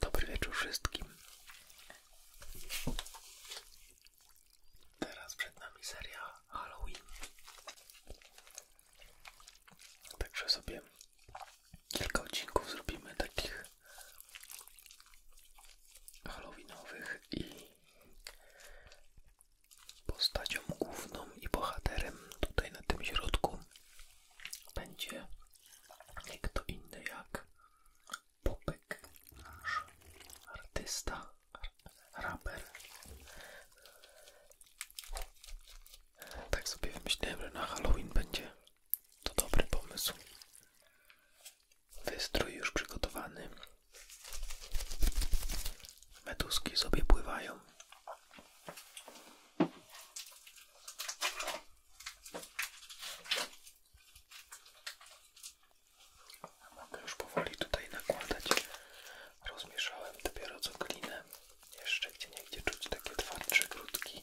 Dobry wieczór wszystkim. Teraz przed nami seria Halloween. Także sobie kilka odcinków zrobimy takich halloweenowych i Postacią główną i bohaterem tutaj na tym środku będzie nie inny jak Popek, nasz artysta, raper. Tak sobie wymyśliłem, że na Halloween będzie to dobry pomysł. Wystrój już przygotowany. Meduski sobie pływają. mogę już powoli tutaj nakładać. Rozmieszałem dopiero co glinę. Jeszcze gdzie niegdzie czuć takie twardsze grudki.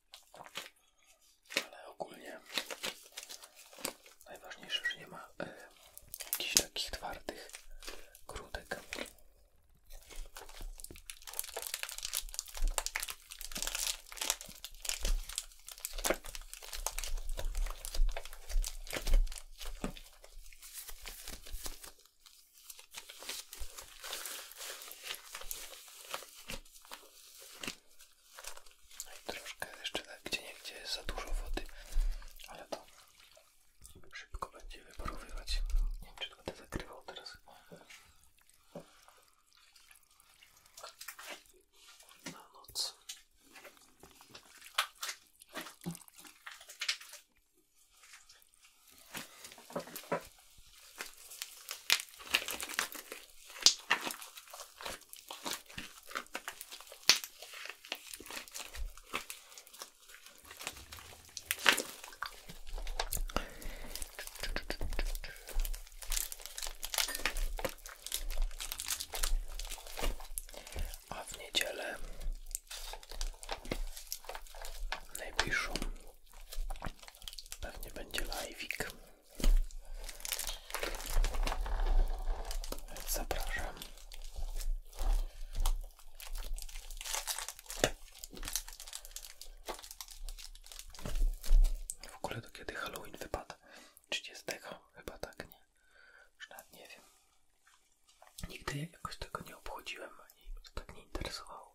ale ogólnie najważniejsze, że nie ma y, jakichś takich twardych grudek. No troszkę jeszcze gdzie nie jest za dużo wody, ale to szybko będzie wyparowywać. Nie wiem czy to będzie zakrywał teraz chyba. Na noc. A w niedzielę najbliższą pewnie będzie live'ik. Więc zapraszam. W ogóle to kiedy Halloween wypada? 30 chyba tak, nie? Już nie wiem. Nigdy jakoś tego nie obchodziłem, ani to tak nie interesowało.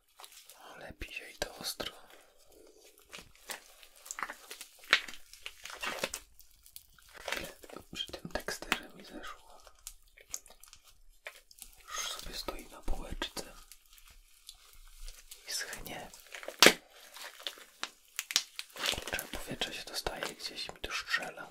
ale pije i to ostro. Przy tym mi zeszło. Już sobie stoi na półeczce i schnie. Kurczę, powietrze się dostaje gdzieś mi tu strzela.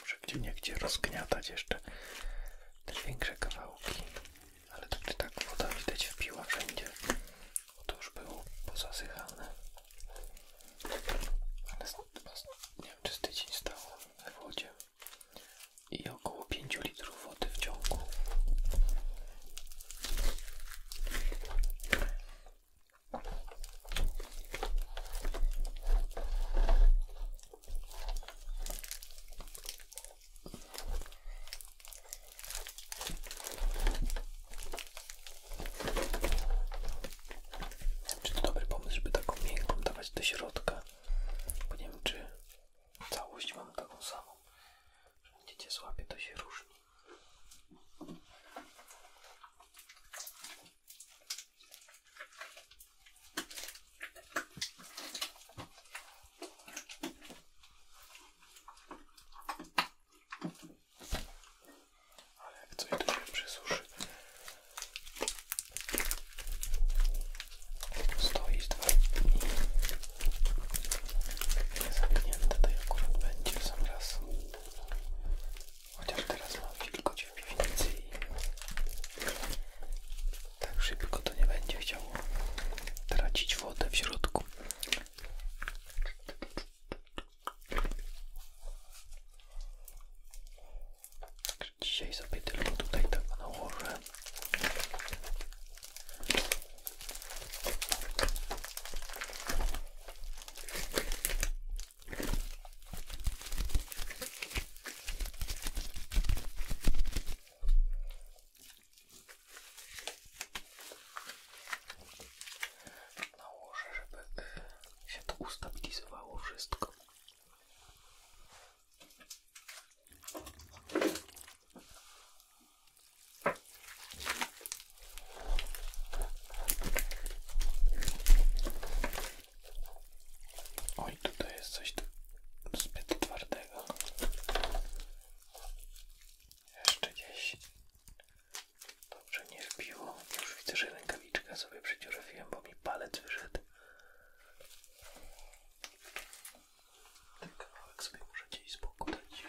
Muszę gdzie nie gdzie rozgniatać jeszcze te większe kawałki, ale tak czy tak woda widać wpiła wszędzie, bo to już było pozasychane. Ale nie wiem czy z tydzień stało w wodzie i około pięciu litrów wody w ciągu. Czy to dobry pomysł, żeby taką miękką dawać do środka? Bo nie wiem, czy Całość mam taką samą. Że będziecie to się różni. Ale jak tu przesuszy, Stoi z dwa Nie, Zamknięte to akurat będzie w sam raz. Chociaż teraz mam wilgoć w piwnicy i tak szybko to nie będzie chciało tracić wodę w środku. Także dzisiaj sobie tylko tutaj tak nałożę. Nałożę, żeby e, się to ustabilizowało wszystko. Oj, tutaj jest coś zbyt twardego. Jeszcze gdzieś dobrze nie wbiło. Już widzę, że rękawiczka sobie przeciurawiłem, bo mi palec wyszedł. Ten tak, kawałek sobie możecie i z boku dać. Się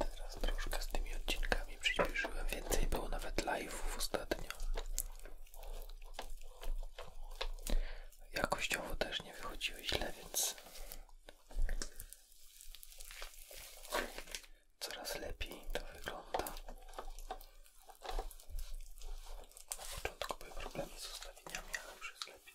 Teraz troszkę z tymi odcinkami przyspieszyłem, więcej było nawet live'ów ostatnio. Jakościowo też nie wychodziło źle, więc coraz lepiej to wygląda. Na początku były problemy z ustawieniami, ale już jest lepiej.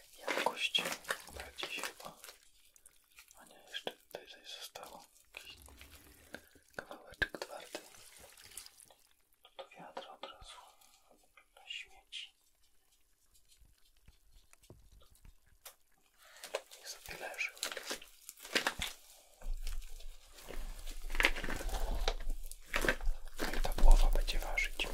jakość bardziej chyba. A nie, jeszcze tutaj zostało. Jakiś kawałeczek twardy. Do wiatra od razu. Na śmieci. Niech sobie leży. No ta głowa będzie ważyć.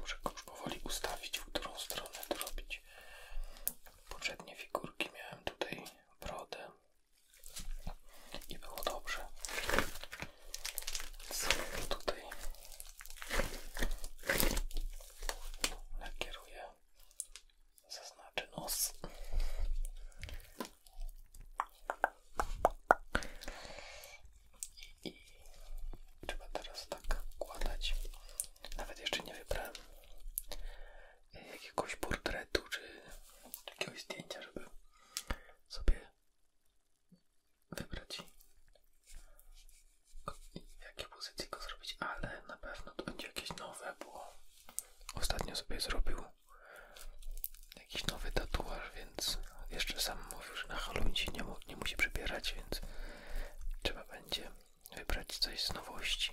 Muszę już powoli ustawić, w którą stronę to robić. Poprzednie figurki miałem tutaj brodę i było dobrze. Co tutaj nakieruję, zaznaczę nos. I, I trzeba teraz tak układać. Nawet jeszcze nie wybrałem jakiegoś portretu czy jakiegoś zdjęcia, żeby sobie wybrać w jakiej pozycji go zrobić, ale na pewno to będzie jakieś nowe, bo ostatnio sobie zrobił jakiś nowy tatuaż, więc jeszcze sam mówił, że na Halloween nie, mu, nie musi przebierać, więc trzeba będzie wybrać coś z nowości.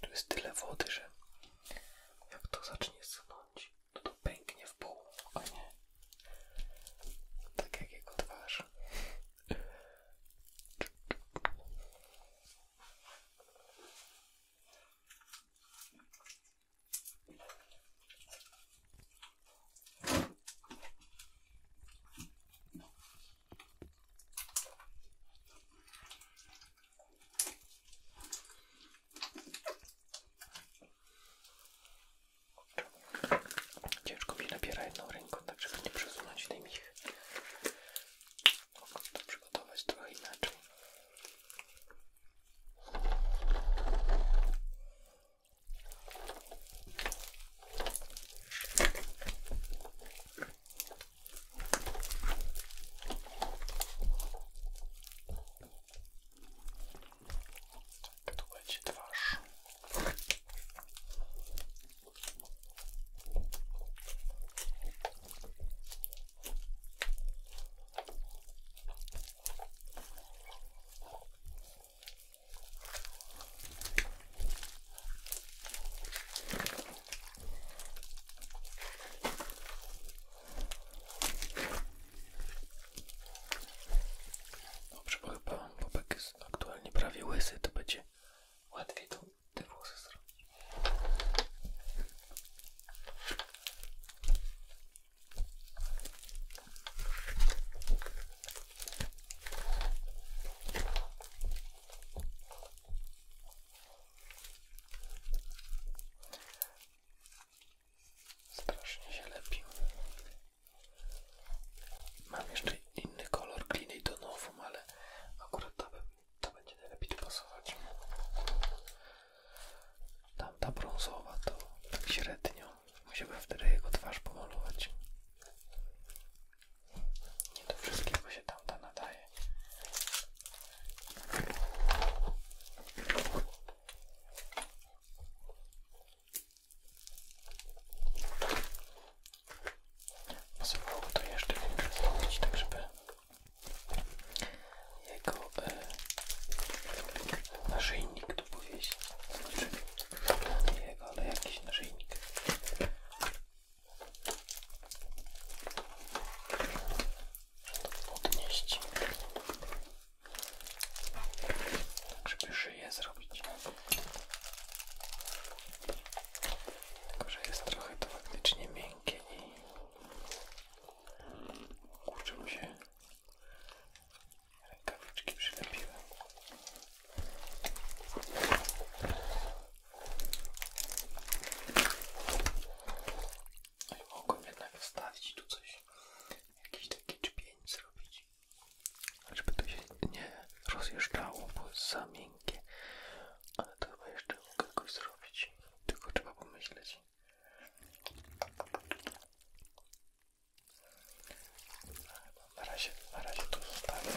Tu jest tyle wody, że jak to zacznie sunąć, no to pęknie w pół, a tak jak jego twarz. Ciężko mi nabiera jedną ręką, tak żeby nie przesunąć tej michy. Mogę to przygotować trochę inaczej. Tak, tu będzie twarz. Dobrze, bo chyba Bobek jest aktualnie prawie łysy, to będzie łatwiej to, te włosy zrobić. Strasznie się lepi. Mam jeszcze inny kolor kliny do nowum, ale akurat ta, ta będzie najlepiej tu pasować. Tamta brązowa to tak średnio. Musiałbym wtedy jego twarz pomalować. Nie do wszystkiego się tamta nadaje. Pasowało to jeszcze większe zrobić, tak żeby jego e, naszyjnik tu powieść. Znaczy, nie jego, ale jakiś naszyjnik. Odnieść żeby szyję zrobić. Tylko, że jest trochę to faktycznie miękkie i kurczę mi się rękawiczki przylepiły. No i mogłem jednak wstawić tu coś, jakiś taki czpień zrobić, żeby to się nie rozjeżdżało, bo jest za miękkie. Ale to chyba jeszcze mogę jakoś zrobić, tylko trzeba pomyśleć. Na razie, na razie to zostawiam.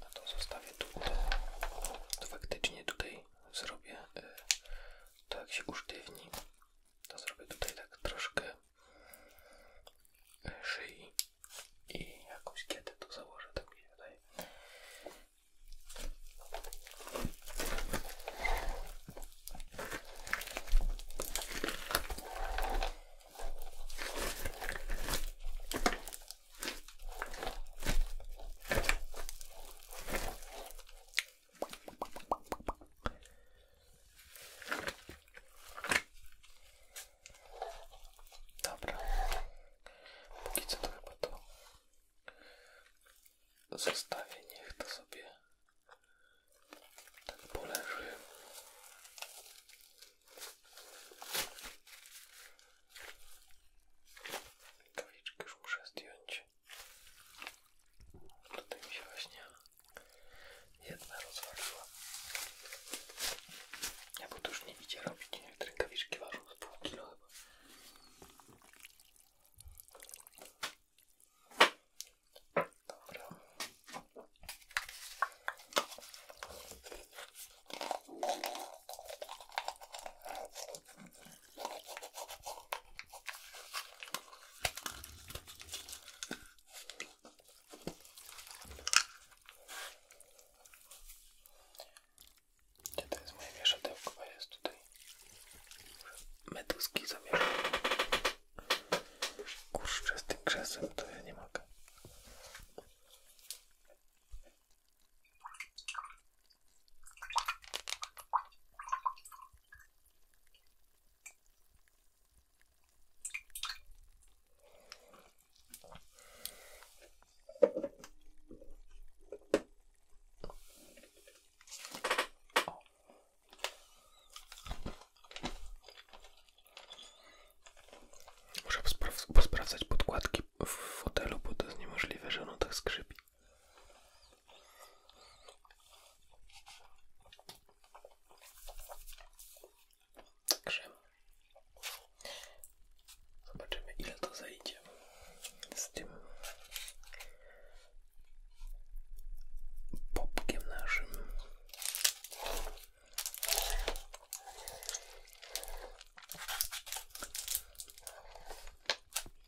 No to zostawię tutaj. To faktycznie tutaj zrobię y, to jak się usztywni. To zrobię tutaj tak troszkę y, szyi i jakąś kietę tu założę, tak mi Dobra, póki co to chyba to zostawię, niech to sobie tak poleży. Kaliczkę już muszę zdjąć. Tutaj mi się właśnie jedna rozwaliła. Ja bo to już nie idzie robić, jak rękawiczki ważą z pół kilo Dobra. Gdzie to jest moje mieszadełko? jest tutaj meduski zamierzam Kurczę, z tym krzesłem to ja nie mogę. O, Muszę posprawdzać podkładki w fotelu, bo to jest niemożliwe, że ono tak skrzypi. zobaczymy ile to zajdzie z tym popkiem naszym.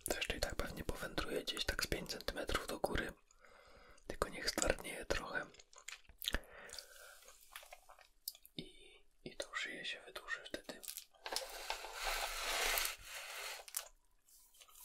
Zresztą i tak pewnie powędruje gdzieś tak z 5 cm do góry, tylko niech stwardnieje trochę i, i tą szyję się wydłuży wtedy.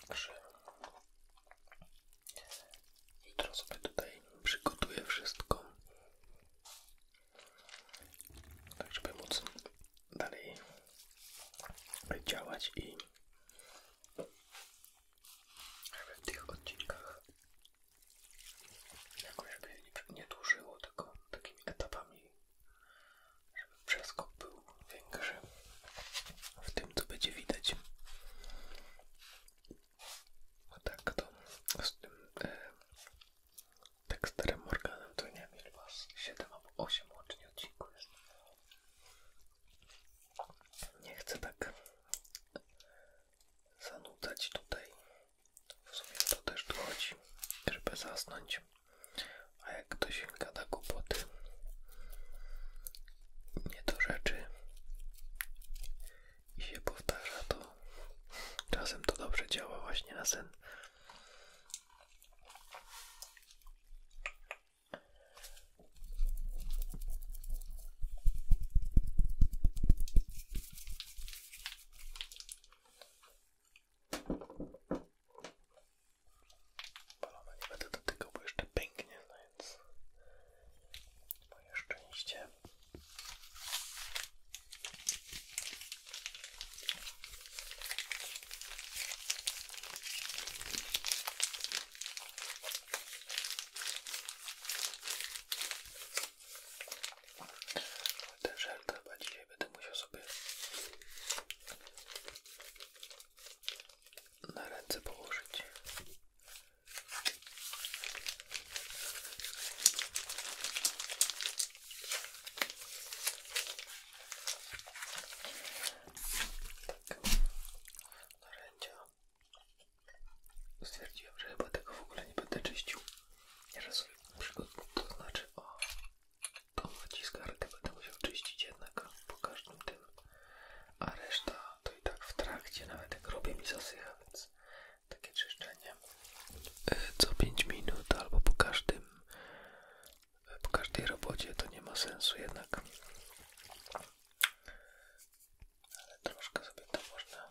Także jutro sobie tutaj przygotuję wszystko, tak żeby móc dalej działać i żeby w tych odcinkach jakoś nie dłużyło, tylko takimi etapami, żeby wszystko było większy w tym, co będzie widać. A tak to z tym e, teksterem Morganem to nie wiem, was 7 albo 8 łącznie odcinków jest. Nie chcę tak zanudzać tutaj. W sumie to też tu chodzi, żeby zasnąć. A jak ktoś da głupoty, nie do rzeczy i się powtarza, to czasem to dobrze działa właśnie na sen. Balona nie będę dotykał, bo jeszcze pęknie, no więc moje szczęście. Ten żel to chyba dzisiaj będę musiał sobie na ręce położyć. Tak. Na Narzędzia. Stwierdziłem, że chyba tego w ogóle nie będę czyścił. Ja sobie przygotuję, to znaczy o Tą wciskarkę będę musiał czyścić jednak po każdym tym, a reszta to i tak w trakcie, nawet jak robię mi zasycha, więc takie czyszczenie e, co 5 minut albo po każdym, e, po każdej robocie to nie ma sensu jednak. Ale troszkę sobie to można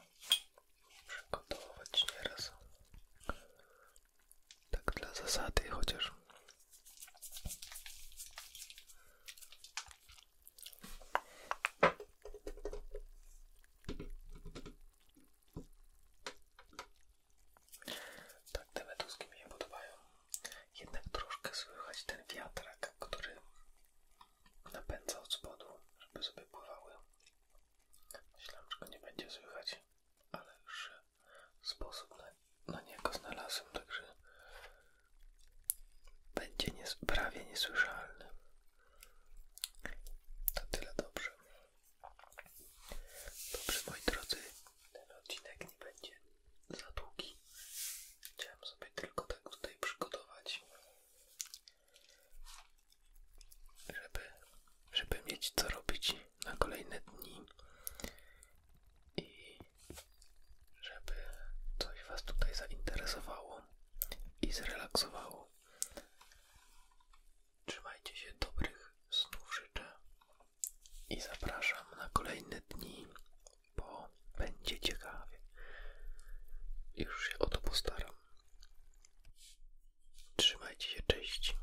przygotować nieraz. Tak dla zasady chociaż. Tak, te meduski mi się podobają. Jednak troszkę słychać ten wiatrak, który napędza od spodu, żeby sobie pływały. Myślałem, że go nie będzie słychać, ale już sposób na, na niego znalazłem, także będzie prawie niesłyszalny. To tyle dobrze. Dobrze, moi drodzy, ten odcinek nie będzie za długi. Chciałem sobie tylko tak tutaj przygotować, żeby, żeby mieć co robić na kolejne dni i żeby coś Was tutaj zainteresowało i zrelaksowało. Trzymajcie się dobrych snów życzę i zapraszam na kolejne dni, bo będzie ciekawie. Już się o to postaram. Trzymajcie się, cześć.